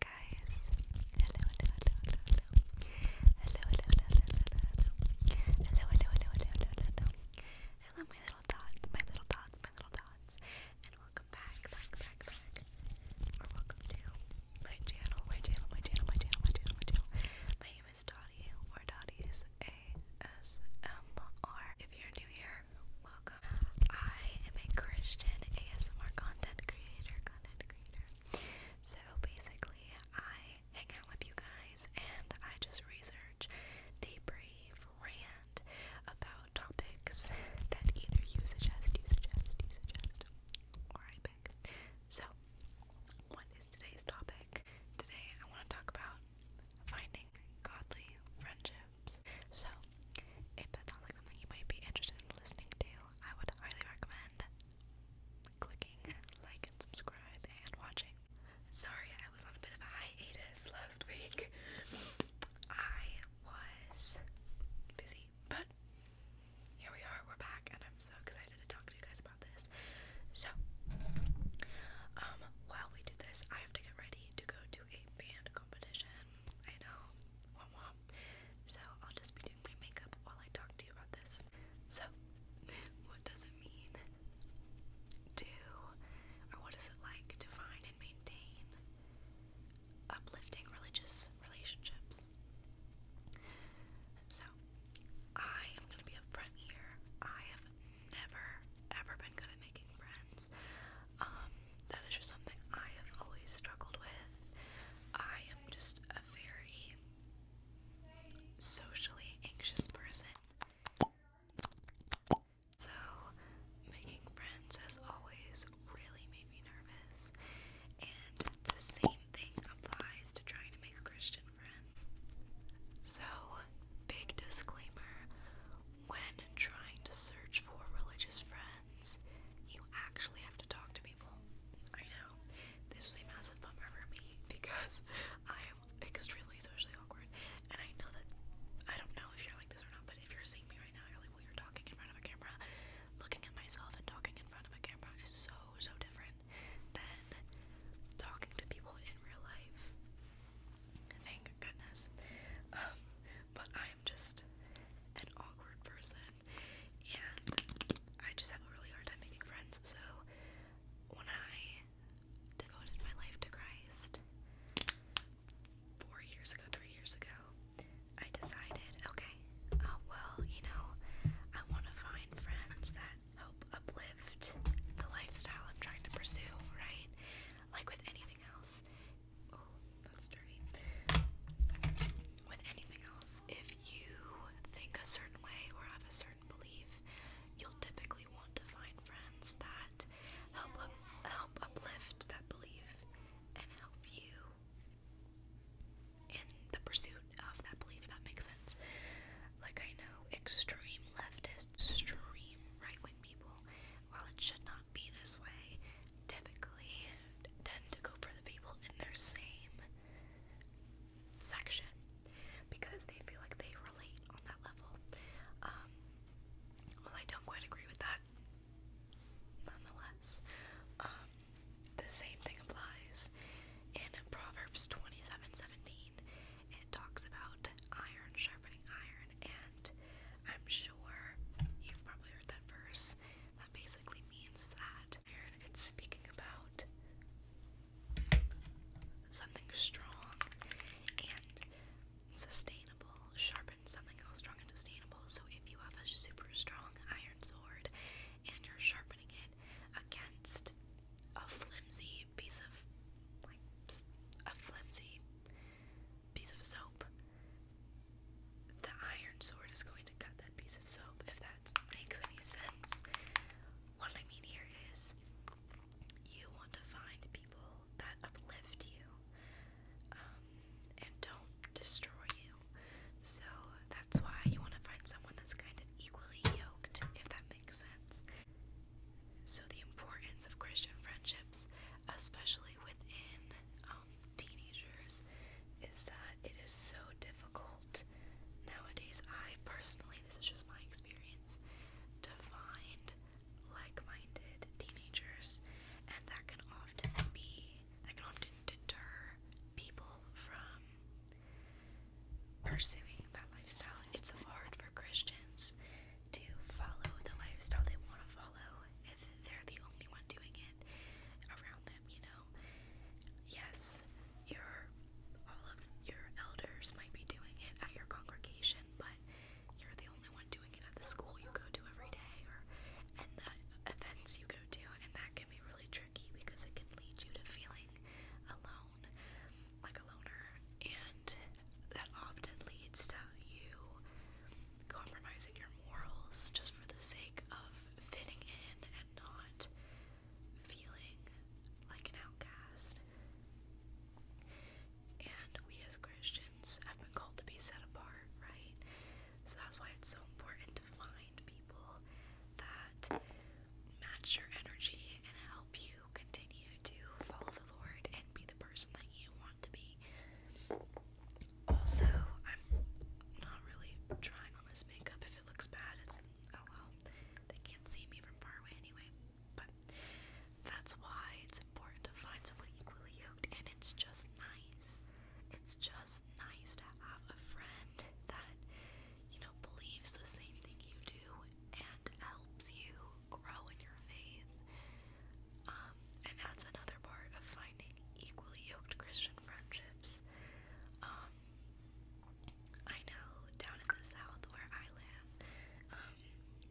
guys, hello, hello, hello, hello, hello, hello, hello, hello, hello, hello, hello, hello, hello, hello, my little dots, my little dots, my little dots, and welcome back, back, back, back, or welcome to my channel, my channel, my channel, my channel, my channel, my channel. My name is Dottie, or Dottie's ASMR. If you're new here, welcome. I am a Christian ASMR content creator. Content so basically, I hang out with you guys and I just research, debrief, rant about topics that either you suggest, you suggest, you suggest, or I pick. So, what is today's topic? Today, I want to talk about finding godly friendships. So, if that sounds like something you might be interested in listening to, I would highly recommend clicking like and subscribe and watching. Sorry, I was on a bit of a hiatus last week. I was busy, but here we are, we're back, and I'm so excited to talk to you guys about this. So, um, while we do this, I have to get ready to go to a band competition. I know, wah wah. So I'll just be doing my makeup while I talk to you about this. So, what does it mean to, or what is it like to find and maintain uplifting religious relationships? So, I am going to be upfront here. I have never, ever been good at making friends. Um, that is just something I have always struggled with. I am just a very socially anxious person. So, making friends has always really made me nervous. And the same thing applies to trying to make a Christian friend. So, big disclaimer when trying to search for religious friends, you actually have to talk to people. I know. This was a massive bummer for me because I am extremely socially awkward. And I know that I don't know if you're like this or not, but if you're seeing me right now, I really like, well, you're talking in front of a camera. Looking at myself and talking in front of a camera is so, so different than talking to people in real life. Thank goodness. Um, but I'm just an awkward person, and I just have a really hard time making friends. So when I devoted my life to Christ four years ago, three years ago, I decided, okay, oh, well, you know, I want to find friends that help uplift the lifestyle I'm trying to pursue, right? Like with anything else, Oh, that's dirty. With anything else, if you think a certain way or have a certain belief, you'll typically want to find friends that help help uplift that belief and help you in the pursuit of that belief. If that makes sense. Like I know, extreme leftist, extreme right wing people. While it should not be this way, typically tend to go for the people in their same section because they feel like they relate on that level. Um, well, I don't quite agree with that. Nonetheless, um, the same thing applies in Proverbs 27 17. It talks about iron sharpening iron, and I'm sure you've probably heard that verse. That basically means that it's speaking about something strong and sustainable. Sharpen something else strong and sustainable. So if you have a super strong iron sword and you're sharpening it against a flimsy piece of like a flimsy piece of soap, the iron sword is going to cut that piece of soap, if that makes any sense. What I mean here is you want to find people that uplift you um, and don't destroy you. So that's why you want to find someone that's kind of equally yoked, if that makes sense. So, the importance of Christian friendships, especially within um, teenagers, is that it is so difficult nowadays. I personally, this is just my experience, to find like-minded teenagers, and that can often be that can often deter people from pursuing that lifestyle. It's hard for Christians to follow the lifestyle they want to follow if they're the only one doing it around them, you know? Yes, your all of your elders might be doing it at your congregation, but you're the only one doing it at the school you go to every day or and the events you go to, and that can be really tricky because it can lead you to feeling alone, like a loner, and that often leads to you compromising your morals just for the sake of fitting in and not feeling like an outcast. And we as Christians have been called to be set apart, right? So that's why it's so important to find people that match your energy and help you continue to follow the Lord and be the person that you want to be. Also, I'm not really trying on this makeup. If it looks bad, it's oh well. They can't see me from far away anyway. But that's why it's important to find someone equally yoked, and it's just nice. It's just nice to have a friend that, you know, believes the same thing you do and helps you grow in your faith. Um, and that's another part of finding equally yoked Christian friendships. Um, I know down in the south where I live, um,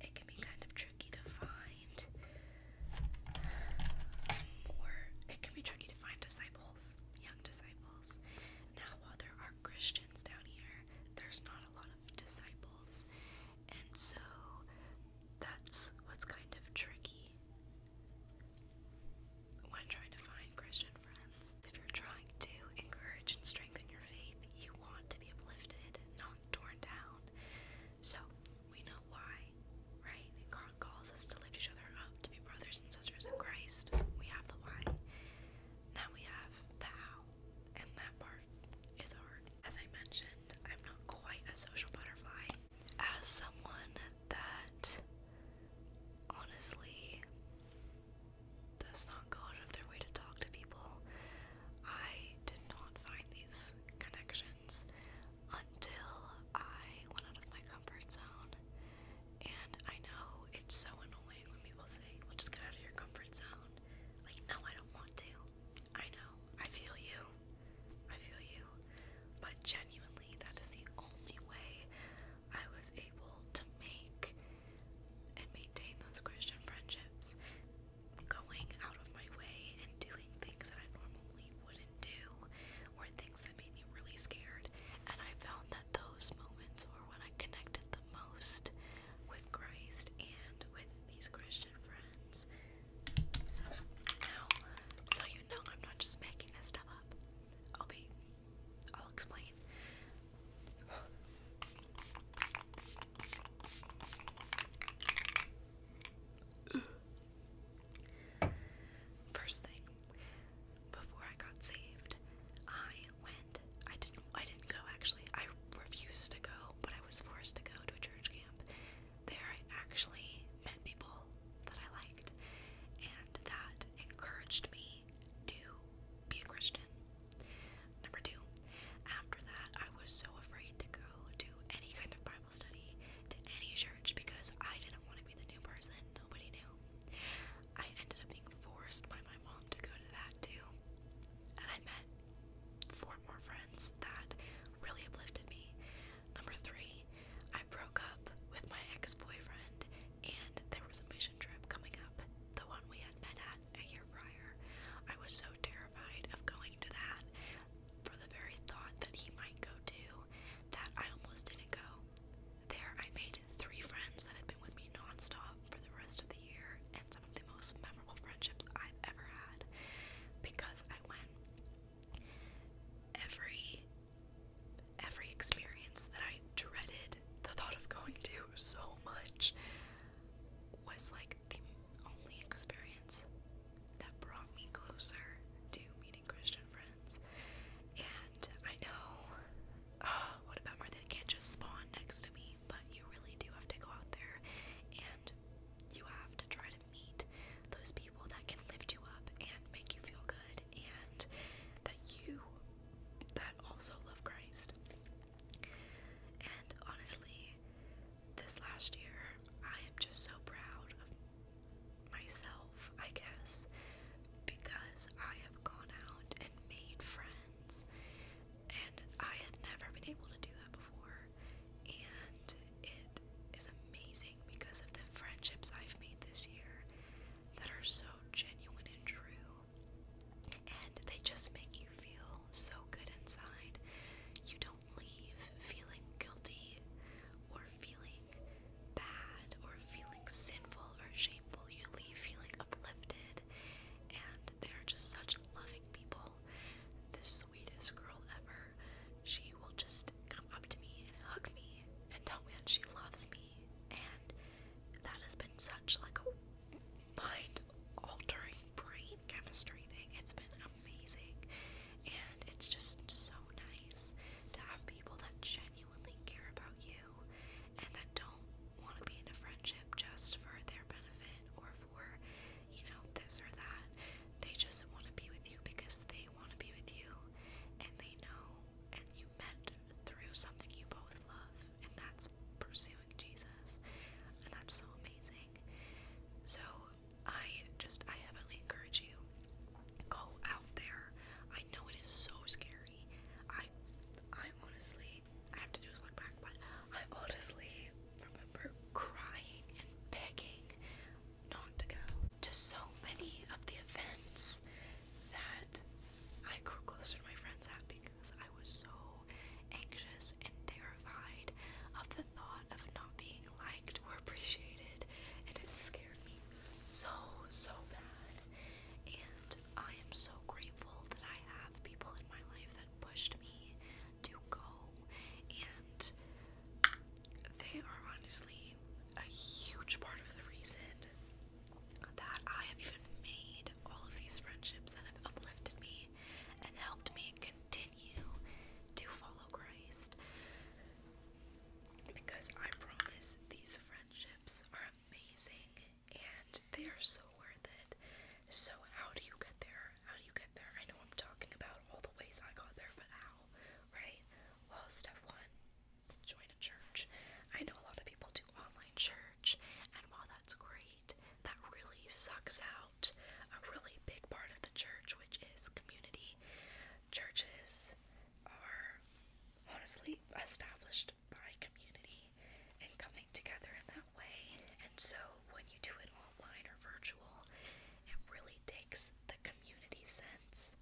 it can be kind of tricky to find, or it can be tricky to find disciples, young disciples. Now, while there are Christians down here, there's not a lot of disciples, and so that's what's kind of tricky when trying to find Christian friends. If you're trying to encourage and strengthen your faith, you want to be uplifted, not torn down. So we know why, right? God calls us to lift each other up, to be brothers and sisters in Christ. We have the why. Now we have the how, and that part as I mentioned, I'm not quite a social butterfly. As someone that honestly does not go out of their way to talk to people, I did not find these connections until I went out of my comfort zone. And I know it's so annoying when people say, well, just get out of your comfort zone. Like, no, I don't want to. I know. I feel you. I feel you. But genuinely, that is the only way I was able to make and maintain those Christian friendships. Going out of my way and doing things that I normally wouldn't do, or things that made me really scared. And I found that those moments were when I connected the most with Christ and with these Christian friends so you know I'm not just making this stuff up. I'll be I'll explain. First thing, before I got saved, I went I didn't I didn't go actually. I refused to go but I was forced to go to a church camp. There I actually met people that I liked, and that encouraged me to be a Christian. Number two, after that, I was so afraid to go to any kind of Bible study, to any church, because I didn't want to be the new person. Nobody knew. I ended up being forced by my mom to go to that too. And I met four more friends that really uplifted me. Number three, I broke up with my ex boyfriend, and there was a mission trip coming up, the one we had met at a year prior. I was so terrified of going to that for the very thought that he might go to that I almost didn't go. There, I made three friends that had been with me nonstop for the rest of the and some of the most memorable friendships I've ever had because I went every every experience that I dreaded the thought of going to so much was like the only experience that brought me closer to meeting Christian friends. And I know, what about more that can't just spawn next to me but you really do have to go out there and you have to try to meet those people that can lift you up and make you feel good and that you that also love Christ. And honestly, this last year, I am just so proud of myself, I guess, because I have gone out and made friends and I had never been able to do that before. And it is amazing because of the friendships I've made this year that are so genuine and true. And they just make you feel so good inside. You don't leave feeling guilty or feeling bad or feeling sinful or shameful. You leave feeling uplifted and they're just such loving people. The sweetest girl ever. She will just come up to me and hug me and tell me that she loves me, and that has been such like a mind-altering brain chemistry thing. It's been amazing, and it's just so nice to have people that genuinely care about you and that don't want to be in a friendship just for their benefit or for, you know, this or that. They just want to be with you because they want to be with you and they know and you met through something you both love, and that's pursuing Jesus. And that's so amazing. So, I just, I heavily encourage you go out there. I know it is so scary. I, I honestly I have to do is look back, but I honestly remember crying and begging not to go to so many of the events that I grew closer to my friends at because I was so anxious and terrified of the thought of not being liked or appreciated, and it scared me so, so bad. And I am so grateful that I have people in my life that pushed me to go, and they are honestly a huge part of the reason that I have even made all of these friendships and have uplifted me and helped me continue to follow Christ. Because I promise these friendships are amazing and they are so worth it. So how do you get there? How do you get there? I know I'm talking about all the ways I got there, but how, right? Well, step one, join a church. I know a lot of people do online church, and while that's great, that really sucks out a really big part of the church, which is community. Churches are honestly established by community and coming together in that way. And so when you do it online or virtual, it really takes the community sense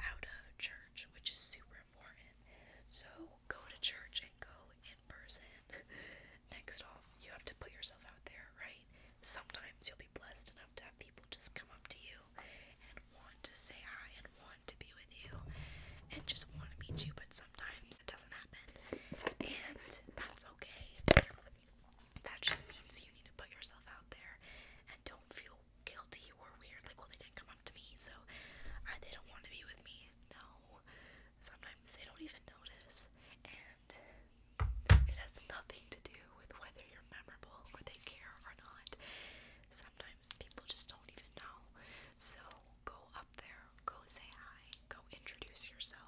out of church, which is super important. So go to church and go in person. Next off, you have to put yourself out there, right? Sometimes you'll be blessed enough to have people just come up to you and want to say hi and want to be with you and just want to meet you, but sometimes it doesn't happen, and that's okay. That just means you need to put yourself out there and don't feel guilty or weird. Like, well, they didn't come up to me, so uh, they don't want to be with me. No, sometimes they don't even notice, and it has nothing to do with whether you're memorable or they care or not. Sometimes people just don't even know. So go up there, go say hi, go introduce yourself.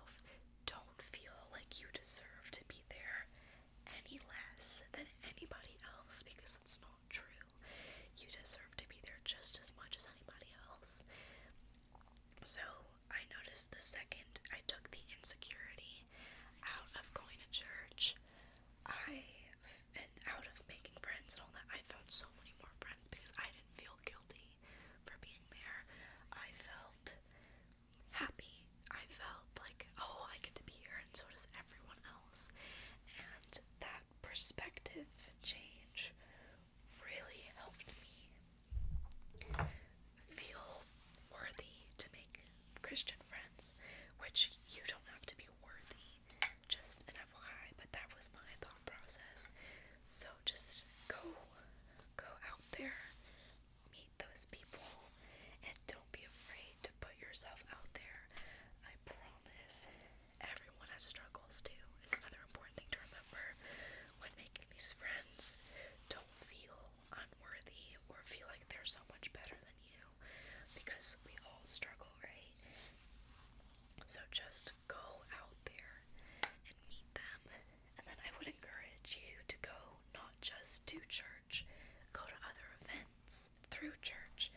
Don't feel like you deserve to be there any less than anybody else because that's not true. You deserve to be there just as much as anybody else. So, I noticed the second I took the insecurity out of going to church, I and out of making friends and all that, I found so many more friends because I feel guilty for being there. I felt happy. I felt like, oh, I get to be here, and so does everyone else. And that perspective change really helped me feel worthy to make Christian friends, which you don't have to be worthy just an FYI, but that was my thought process. So just go, go out there, meet those people, and don't be afraid to put yourself out there. I promise everyone has struggles too. It's another important thing to remember when making these friends. Don't feel unworthy or feel like they're so much better than you because we all struggle, right? So just go out there and meet them. And then I would encourage you to go not just to church, go to other events through church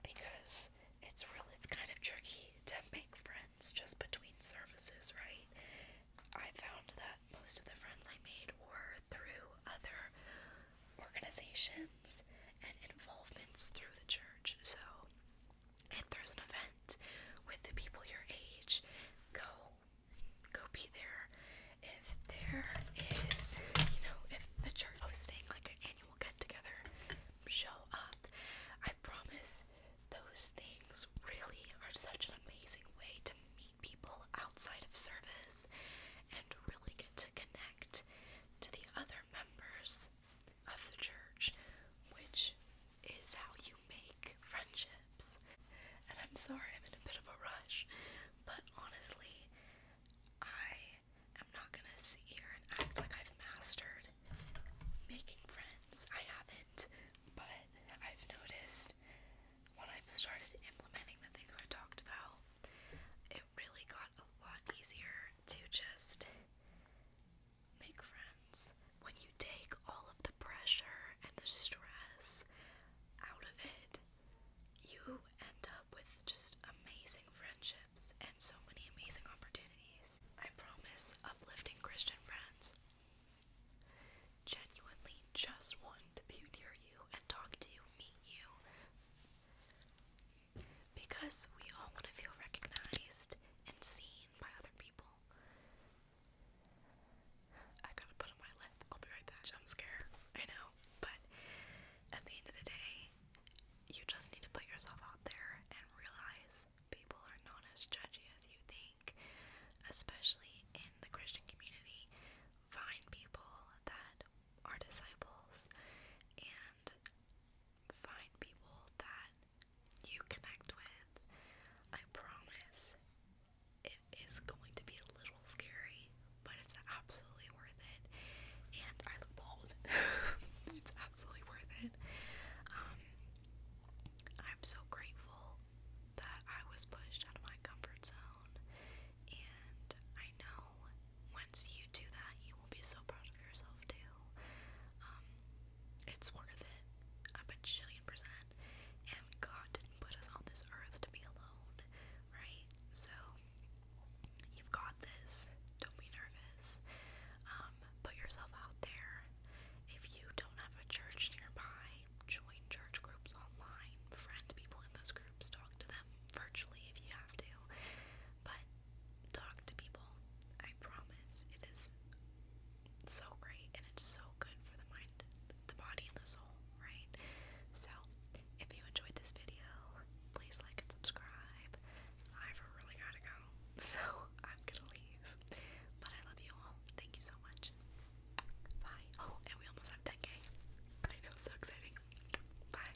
because it's real it's kind of tricky to make friends just between services, right? I found that most of the friends I made were through other organizations and involvements through the church. So if there's an event with the people your age, go go be there. If there is, you know, if the church hosting like an annual get together, show up. I promise those things really are such an amazing way to meet people outside of service and really get to connect to the other members of the church, which is how you make friendships. And I'm sorry I'm in a bit of a rush, but honestly, I am not gonna sit here and act like I've mastered making friends. I haven't, but I've noticed when I've started implementing the things I talked about, it really got a lot easier to just make friends when you take all of the pressure and the stress out of it. You end up with just amazing friendships and so many amazing opportunities. I promise, uplifting Christian friends genuinely just want to be near you and talk to you, meet you, because we all want to feel recognized and seen by other people. I gotta put on my lip. I'll be right back. I'm scared. I know, but at the end of the day, you just need to put yourself out there and realize people are not as judgy as you think, especially in the Christian community. Find people that are disciples and find people that you connect with. I promise it is going to be a little scary, but it's absolutely worth it. And I look bald. it's absolutely worth it. Um, I'm so grateful that I was pushed out of my comfort zone, and I know once you do that, you will be so proud of yourself too. Um, it's worth it a bajillion percent. And God didn't put us on this earth to be alone, right? So you've got this. Don't be nervous. Um, put yourself out there. If you don't have a church nearby, join church groups online. Friend people in those groups. Talk to them virtually if you have to. But talk to people. I promise. It is so great and it's so good for the mind, the body, and the soul, right? So, if you enjoyed this video, please like and subscribe. I've really gotta go, so I'm gonna leave. But I love you all. Thank you so much. Bye. Oh, and we almost have 10k. I know, so exciting. Bye.